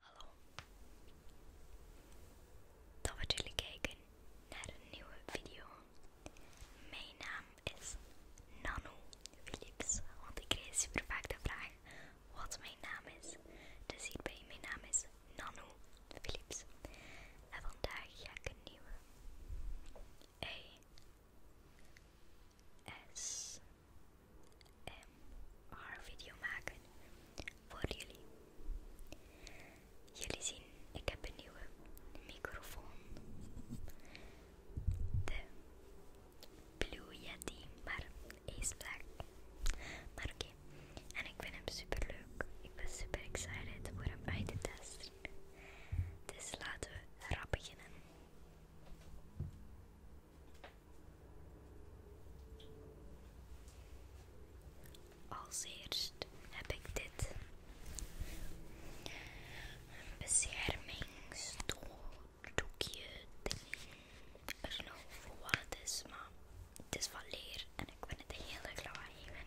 Hallo. Oh. Dat we jullie kijken naar een nieuwe video. Mijn naam is Nano Philips, want ik krijg super vaak de vraag wat mijn naam is. Dus hierbij, mijn naam is Nano Philips. En vandaag ga ik een nieuwe E S haar video maken voor jullie. Jullie zien, ik heb een nieuwe microfoon. De Blue Yeti, maar is black. Maar oké, en ik vind hem super leuk. Ik ben super excited voor hem uit te testen. Dus laten we rap beginnen. Als eerst heb ik dit. Een beschermingsdoekje ding. Ik weet nog voor wat het is, maar het is van leer en ik vind het heel erg lawaaiig.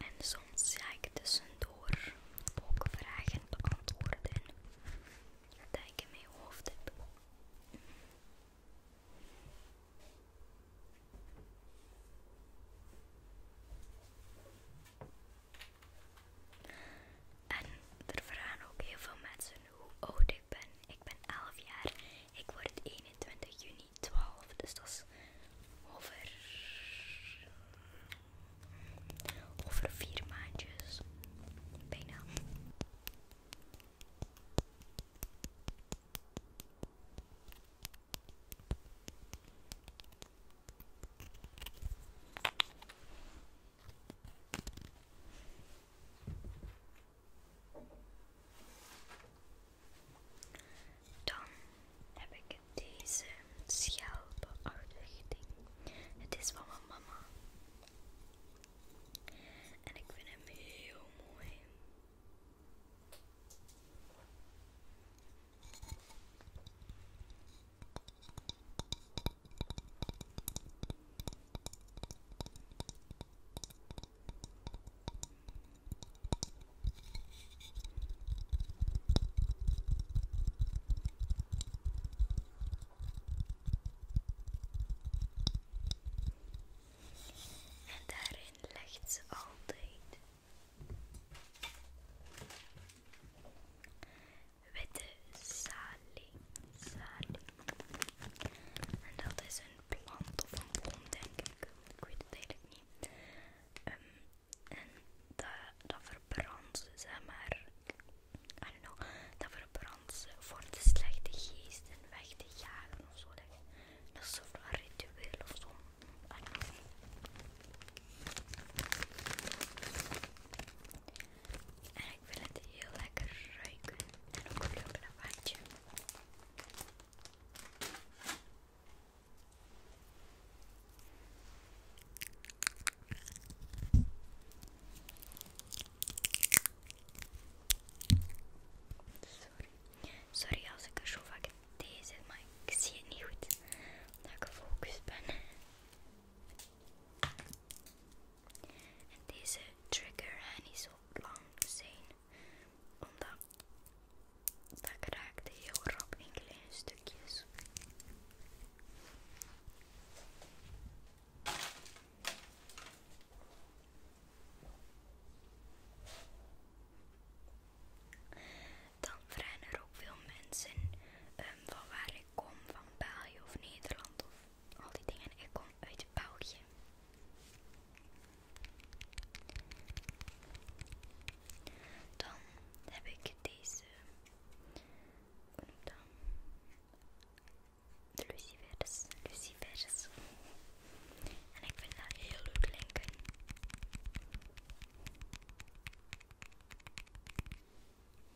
En soms ga ik tussendoor ook vragen beantwoorden Kijk je in mijn hoofd En er vragen ook heel veel mensen hoe oud ik ben. Ik ben elf jaar. Ik word 21 juni twaalf Dus dat is over, over vier maandjes. Bijna. Dan heb ik deze schelpenachtig ding. Het is van mijn mama. En ik vind hem heel mooi. En daarin legt ze altijd witte salie. En dat is een plant of een boom, denk ik. Ik weet het eigenlijk niet. Ehm, en dat, dat verbrandt, zeg maar, I don't know, dat verbrandt voor de slechte geesten weg te jagen of zo. Dat is zo'n ritueel of zo. I don't ik wil het heel lekker ruiken en ook vloeken een Sorry. Sorry als ik er zo vaak deze maar ik zie het niet goed omdat ik gefocust ben. En deze trigger niet zo lang zijn, omdat dat raakte heel rap in kleine stukjes. Dan vragen er ook veel mensen ehm, van waar ik kom, van België of Nederland of al die dingen. Ik kom uit het bouwtje. Dan heb ik deze. dan noem dat? De lucifers. lucifers. En ik vind dat heel leuk klinken.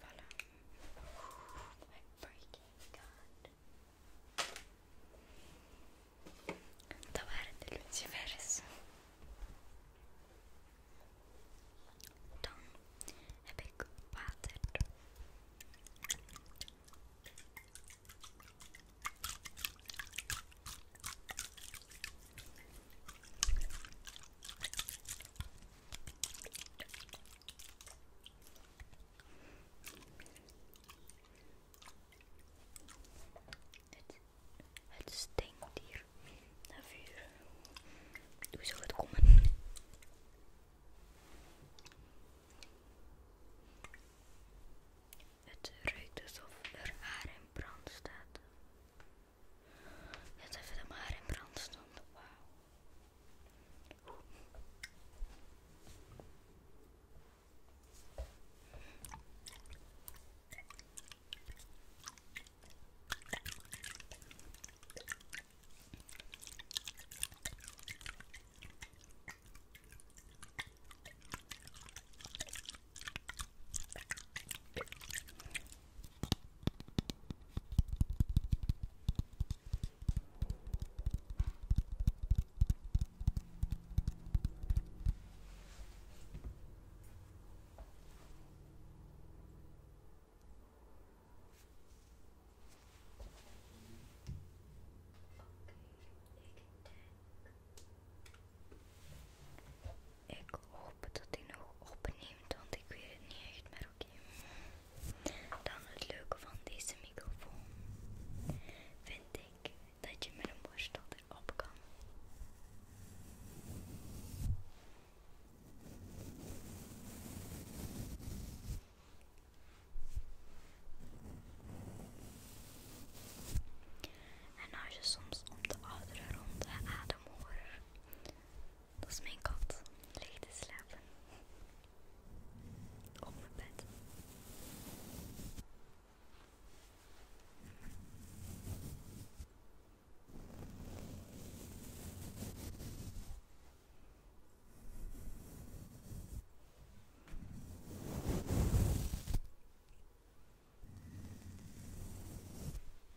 Voilà. My freaking god. Dat waren de lucifers. Dan heb ik water. Het, het stinkt hier naar vuur. Hoe zou het komen? Het ruikt alsof er haar brand staat. Dat even de maar in brand stond. Wauw. Ik hoop dat hij nog opneemt, want ik weet het niet echt meer oké. Dan het leuke van deze microfoon vind ik dat je met een borstel erop kan. En als je soms om de ouderen rond de adem dat is mijn kat. Ligt slapen. Op mijn bed.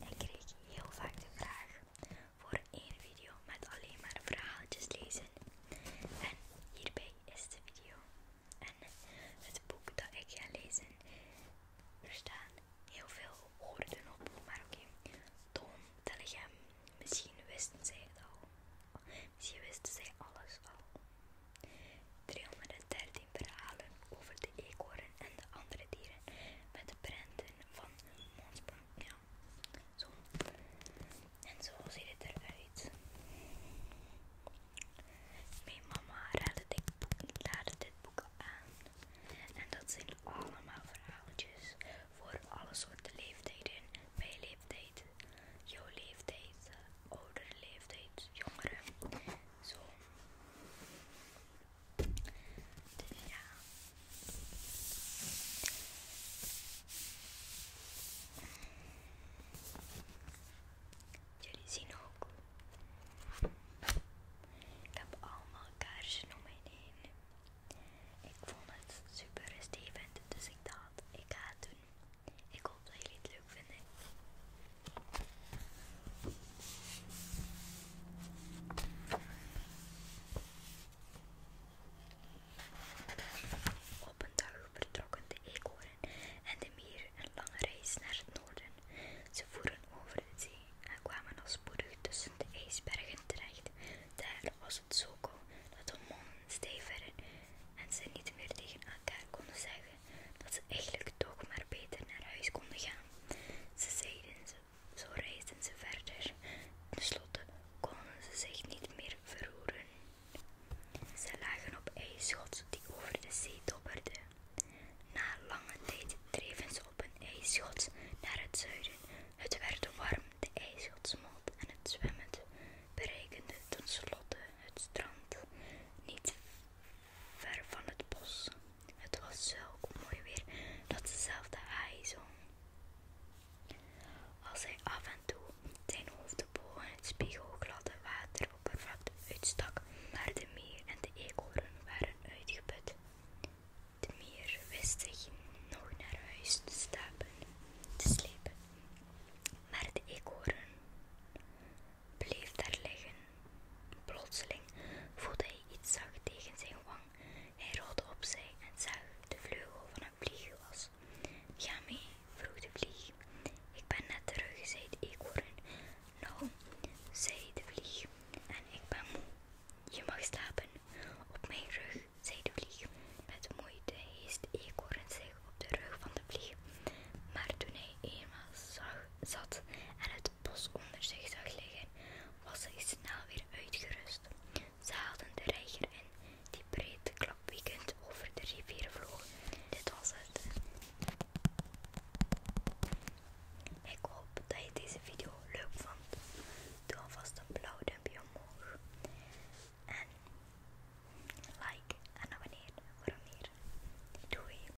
Ik kreeg heel vaak de vraag voor één video met alleen maar verhaaltjes lezen. En hierbij is de video en het boek dat ik ga lezen. Er staan heel veel woorden op, maar oké. Okay. Toon, Telegram, misschien wisten zij het al. Misschien wisten zij alles al. 313 verhalen over de eekhoorn en de andere dieren met de prenten van mondspan. Ja, zo. En zo ziet het eruit. Mijn mama raadde dit boek, dit boek aan. En dat zijn allemaal verhaaltjes voor alle soorten leeftijden. Mijn leeftijd, jouw leeftijd, eh, oudere leeftijd, jongere zo. Dus ja. Jullie zien ook. Ik heb allemaal kaarsen om in heen. Ik vond het super rustgevend, dus ik dacht, ik ga het doen. Ik hoop dat jullie het leuk op een dag vertrokken de eekhoorn en de meer een lange reis naar het noorden. Ze voeren over de zee en kwamen al spoedig tussen de ijsbergen terecht. Daar was het zo koud dat de mannen stijf en ze niet meer tegen elkaar konden zeggen dat ze eigenlijk toch maar beter naar huis konden gaan. Ze zeiden ze, zo reisden ze verder. Tenslotte konden ze zich niet meer verroeren. Ze lagen op ijsschot die over de zee dobberde. Na lange tijd dreven ze op een ijsschot naar het zuiden. Het werd warm, de ijsschot smolt en het zwemmen bereikende slotte het strand. Niet ver van het bos. Het was zo mooi weer dat dezelfde zelf zong. Als hij af en toe zijn hoofd in het spiegelgladde wateroppervlakte uitstak, waar de meer en de eekhoorn waren uitgeput. De meer wist zich nog naar huis te, stapen, te slepen, maar de eekhoorn bleef daar liggen. Plotseling voelde hij iets zacht tegen zijn wang. Hij rolde zij en zag de vleugel van een was. Ga mee, vroeg de vlieg. Ik ben net terug, zei de eekhoorn. Nou, zei de vlieg, en ik ben moe. Je mag slapen. Op mijn rug, zei de vlieg. Met moeite heest de eekhoorn zich op de rug van de vlieg. Maar toen hij eenmaal zag zat en het bos onder zich zag liggen, was hij snel weer uitgerust. Ze haalden de reiger in, die breed klapwiekend over de rivier vloog. Dit was het. Ik hoop dat je deze video leuk vond. Doe alvast een blauw duimpje omhoog. En like en abonneer voor meer. Doei!